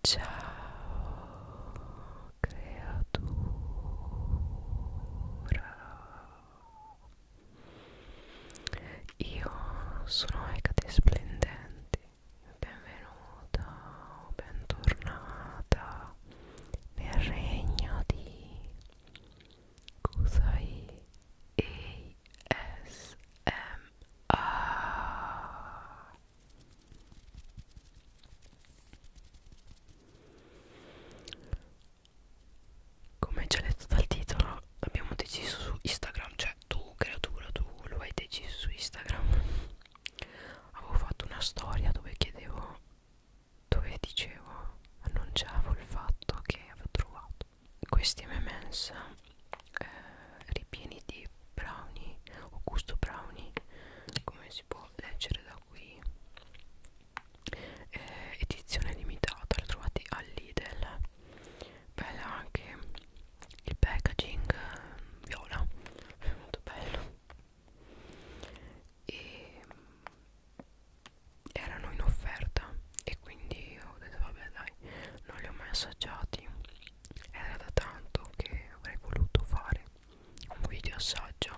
Ciao creatura Io sono Ecate Splendente Benvenuta, bentornata nel regno di Kusai ASMR come già letto dal titolo abbiamo deciso su Instagram, cioè tu creatura, tu lo hai deciso su Instagram. Avevo fatto una storia dove chiedevo, dove dicevo, annunciavo il fatto che avevo trovato questi MMS eh, ripieni di brownie o gusto brownie come si può leggere da qui eh, edizione limitata la trovate al Lidl bella anche il packaging eh, viola è molto bello e mm, erano in offerta e quindi ho detto vabbè dai non li ho mai assaggiati era da tanto che avrei voluto fare un video assaggio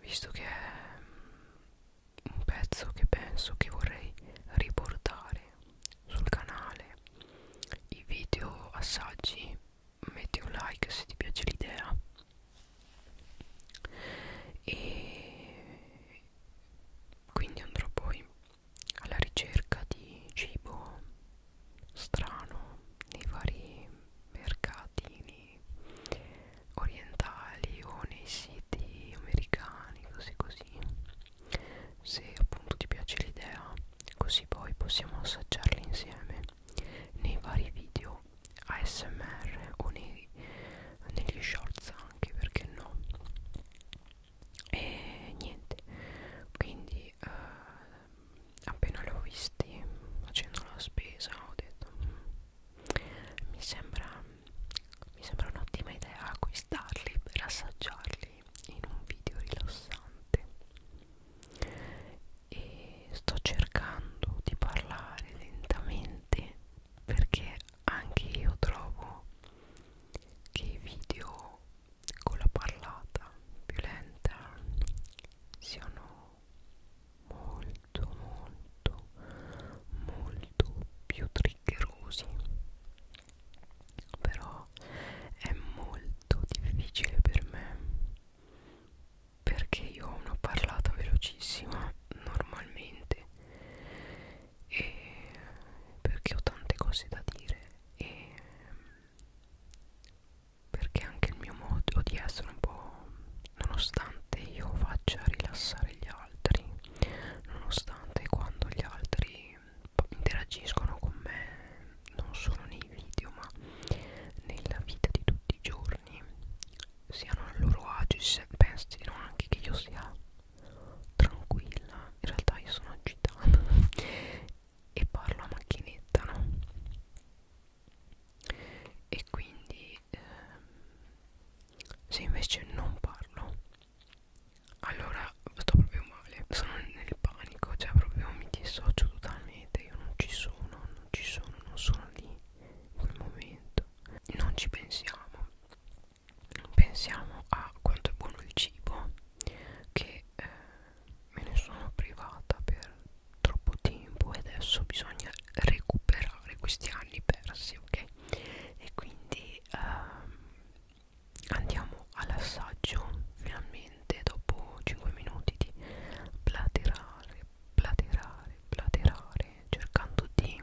visto che è un pezzo che penso che vorrei riportare sul canale i video assaggi metti un like se ti piace l'idea e quindi andrò poi alla ricerca di cibo strano nei vari mercatini orientali o nei siti americani così così se appunto ti piace l'idea così poi possiamo assaggiarli insieme nei vari video ASMR o nei, negli shorts anche perché no e niente quindi eh, appena l'ho visti facendo la spesa ho detto mm, mi sembra mi sembra un'ottima idea acquistarli per assaggiarli in un video rilassante e sto cercando di parlare lentamente perché anche io trovo che i video con la parlata violenta siano molto molto molto più triggerosi però è molto difficile per me perché io ho una parlata velocissima normalmente e perché ho tante cose da dire e perché anche il mio modo di essere un po' nonostante io faccia rilassare gli altri nonostante quando gli altri interagiscono con me non solo nei video ma nella vita di tutti i giorni siano al loro agio pensino anche che io sia tranquilla in realtà io sono agitata e parlo a macchinetta no e quindi ehm, se invece non parlo allora sto proprio male sono nel panico cioè proprio mi dissocio totalmente io non ci sono non ci sono non sono lì in quel momento non ci pensiamo pensiamo a quanto è buono il cibo che eh, me ne sono privata per troppo tempo e adesso bisogna recuperare questi anni persi ok e quindi ehm, andiamo all'assaggio finalmente dopo 5 minuti di platerare platerare platerare cercando di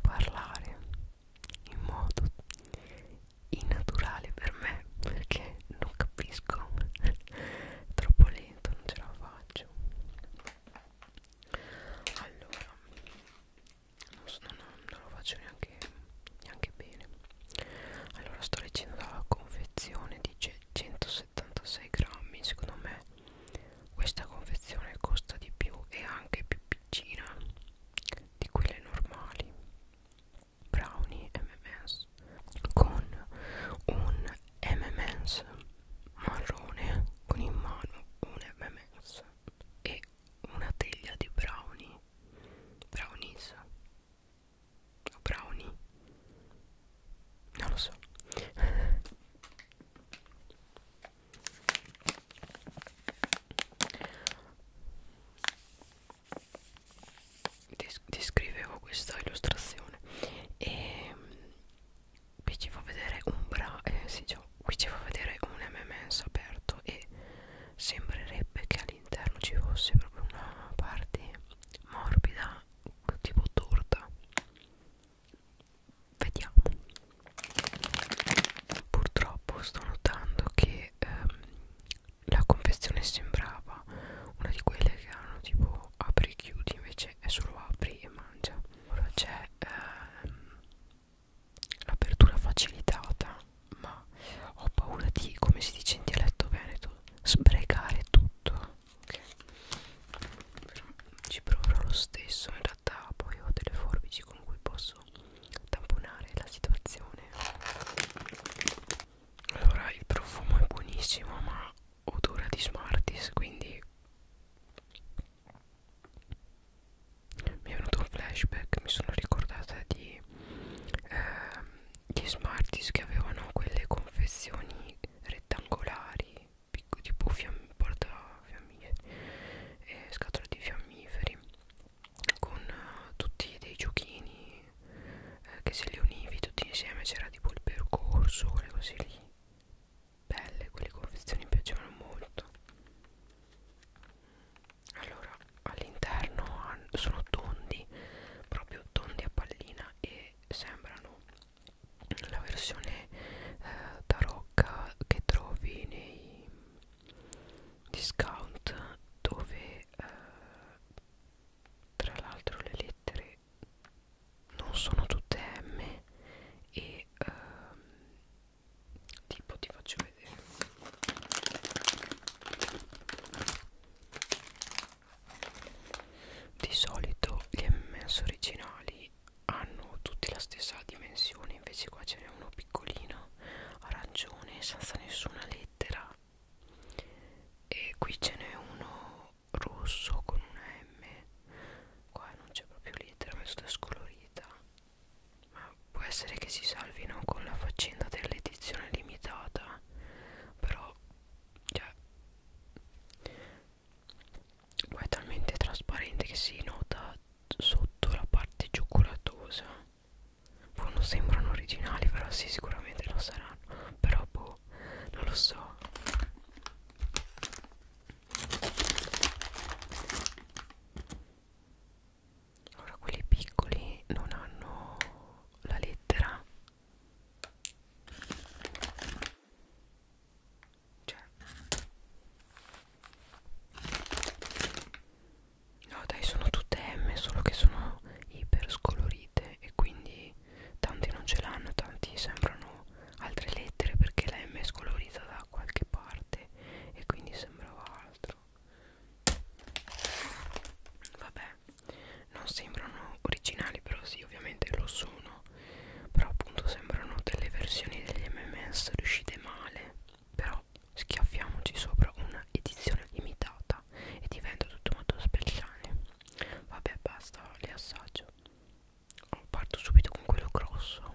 parlare in modo innaturale per me perché non capisco troppo lento non ce la faccio allora non, so, non, non lo faccio neanche, neanche bene allora sto leggendo dalla confezione dice 176 grammi secondo me questa confezione costa di più e anche più piccina di quelle normali brownie MMS con un MMS marrone con in mano un MMS e una teglia di brownie brownies o brownie non lo so ti scrivevo questa illustrazione e qui ci fa vedere un bra eh, sì, cioè, qui ci fa vedere un MMS aperto e sembrerebbe che all'interno ci fosse proprio una parte morbida tipo torta vediamo purtroppo sto notando che ehm, la confezione sembrava una di quelle che hanno tipo apri e chiudi invece è solo apri e mangia ora c'è ehm, l'apertura facilitata ma ho paura di come si dice in dialetto veneto sbrecare tutto ok però ci proverò lo stesso in realtà poi ho delle forbici con cui posso tamponare la situazione allora il profumo è buonissimo ma odora di smarties quindi mi è venuto un flashback mi sono ricordata di eh, gli smarties che avevano quelle confezioni rettangolari picco, tipo fiamm porta fiammiferi eh, scatola di fiammiferi con uh, tutti dei giochini eh, che se li univi tutti insieme c'era tipo il percorso quelle cose lì belle quelle confezioni mi piacevano molto allora all'interno sono tondi proprio tondi a pallina e sembrano la versione eh, tarocca che trovi nei discount dove eh, tra l'altro le lettere non sono tutte M e eh, tipo ti faccio vedere di solito gli M&M's originali hanno tutti la stessa dimensione, invece qua ce n'è uno piccolino, arancione, senza nessuna lettera. E qui ce n'è uno rosso con una M. Qua non c'è proprio lettera, ma è tutta scolorita. Ma può essere che si salvino con la faccenda dell'edizione limitata, però cioè, poi è talmente trasparente che si nota sotto la parte cioccolatosa boh, non sembrano originali però sì sicuramente lo saranno però boh non lo so Ora quelli piccoli non hanno la lettera cioè. No dai sono tutte M solo che sono iper scolorite e quindi tanti non ce l'hanno, tanti sembrano altre lettere perché la M è scolorita da qualche parte e quindi sembrava altro. Vabbè, non sembrano originali però sì ovviamente lo sono però appunto sembrano delle versioni degli MMS riuscite male però schiaffiamoci sopra una edizione limitata e diventa tutto molto speciale vabbè basta le assaggio oh, parto subito con quello grosso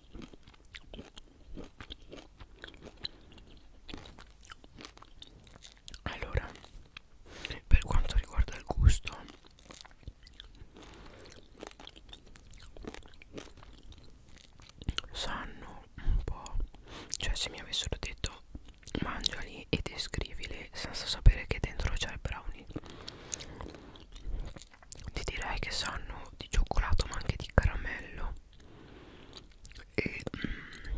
Allora, per quanto riguarda il gusto, sanno un po', cioè se mi avessero detto mangiali e descrivile senza sapere che dentro c'è il brownie ti direi che sanno di cioccolato ma anche di caramello e mm,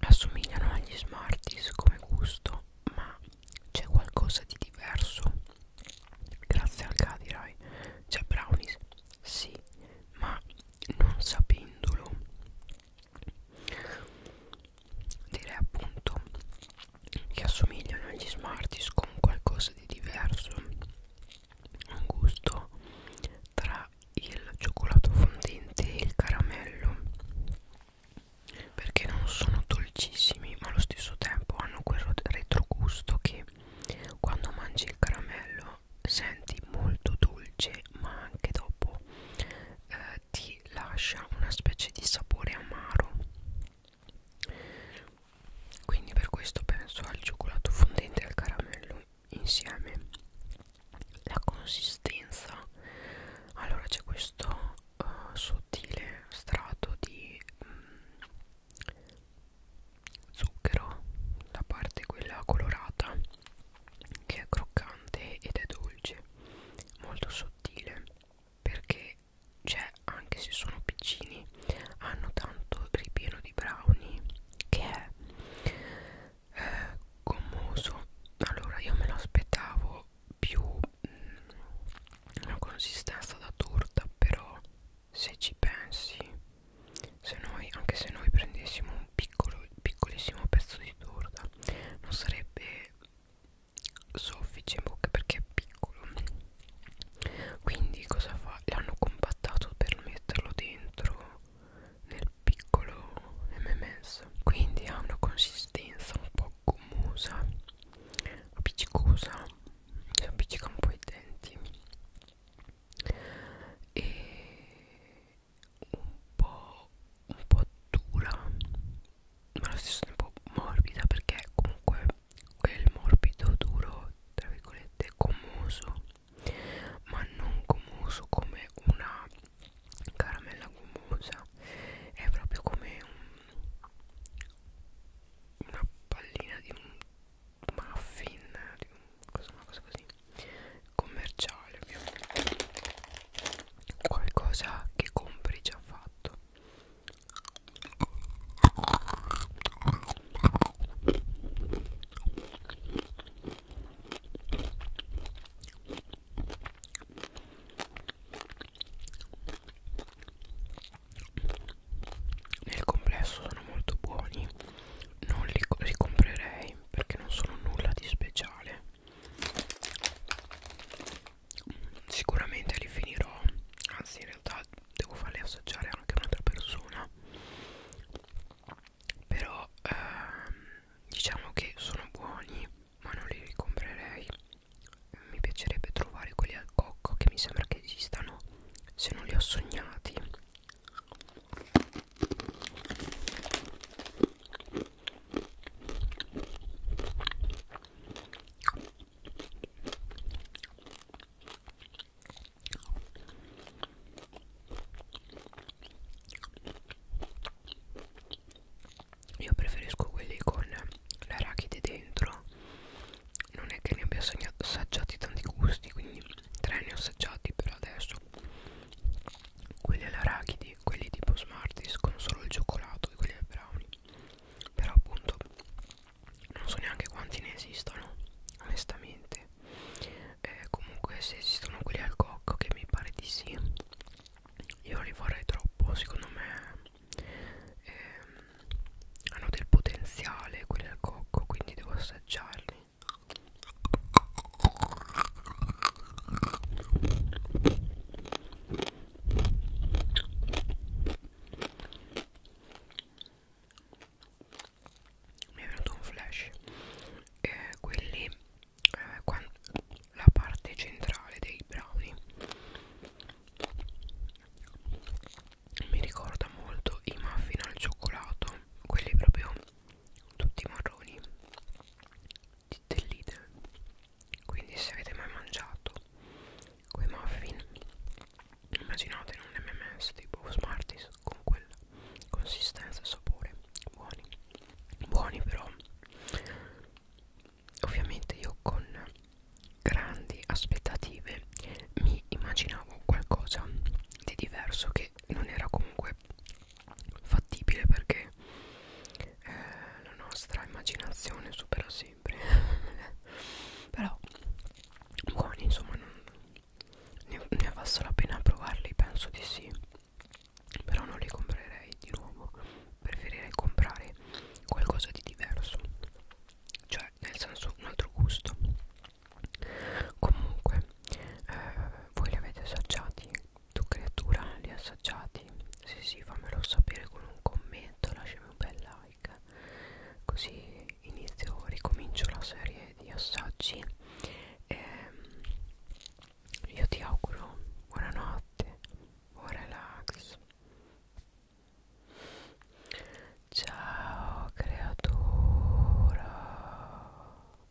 assomigliano agli Smarties come gusto ma c'è qualcosa di diverso grazie al Cadirai c'è brownies sì ma non sapendolo direi appunto che assomigliano agli Smarties con qualcosa di diverso un gusto tra il cioccolato fondente e il caramello perché non sono dolcissimi ma allo stesso tempo hanno quel retrogusto che quando mangi il caramello senti molto dolce ma anche dopo eh, ti lascia una specie di sapore amaro quindi per questo penso al cioccolato fondente e al caramello insieme la consistenza allora c'è questo uh, sottile strato di mh, mm, zucchero la parte quella colorata che è croccante ed è dolce molto sottile perché cioè anche se sono piccini hanno tanto ripieno di brownie che è eh, gommoso allora io me lo aspettavo più mh, mm, una consistenza da torta però se ci pensi se noi anche se noi prendessimo un piccolo piccolissimo pezzo di torta non sarebbe soffice in bocca perché è piccolo quindi cosa fa? l'hanno compattato per metterlo dentro nel piccolo MMS quindi ha una consistenza un po' gommosa appiccicosa appiccica un po' i denti e un po' un po' dura ma allo stesso tempo morbida perché comunque quel morbido duro tra virgolette gommoso ma non gommoso come una caramella gommosa è proprio come un, una pallina di un muffin di un, una cosa così commerciale ovviamente qualcosa che compri già fatto nel complesso sono molto buoni, non li ricomprerei perché non sono nulla di speciale sicuramente li finirò anzi in realtà devo farli assaggiare anche un'altra persona però ehm, diciamo che sono buoni ma non li ricomprerei mi piacerebbe trovare quelli al cocco che mi sembra che esistano se non li ho sognati io preferisco quelli con l'arachide dentro. Non è che ne abbia assaggiati tanti gusti, quindi tre ne ho assaggiati per adesso. Quelli all'arachide quindi quelli tipo Smarties con solo il cioccolato e quelli del brownie però appunto non so neanche quanti ne esistano onestamente eh, comunque se esistono quelli al cocco che mi pare di sì io li vorrei troppo secondo me ehm, hanno del potenziale quelli al cocco quindi devo assaggiarli mi è venuto un flash eh, quelli eh, quando, la parte centrale dei brownie mi ricorda molto i muffin al cioccolato quelli proprio tutti marroni di del Lidl quindi se avete mai mangiato quei muffin immaginate in un MMS tipo Smarties con quella consistenza e sapore buoni buoni però ovviamente io con grandi aspettative mi immaginavo qualcosa di diverso che non era comunque fattibile perché eh, la nostra immaginazione supera sempre però buoni insomma non, ne, ne valso la pena provarli penso di sì però non li comprerei di nuovo preferirei comprare qualcosa di diverso cioè nel senso un altro gusto comunque eh, voi li avete assaggiati tu creatura li hai assaggiati? Sì sì fammelo sapere con un commento lasciami un bel like così inizio ricomincio la serie di assaggi ehm, io ti auguro buonanotte buon relax ciao creatura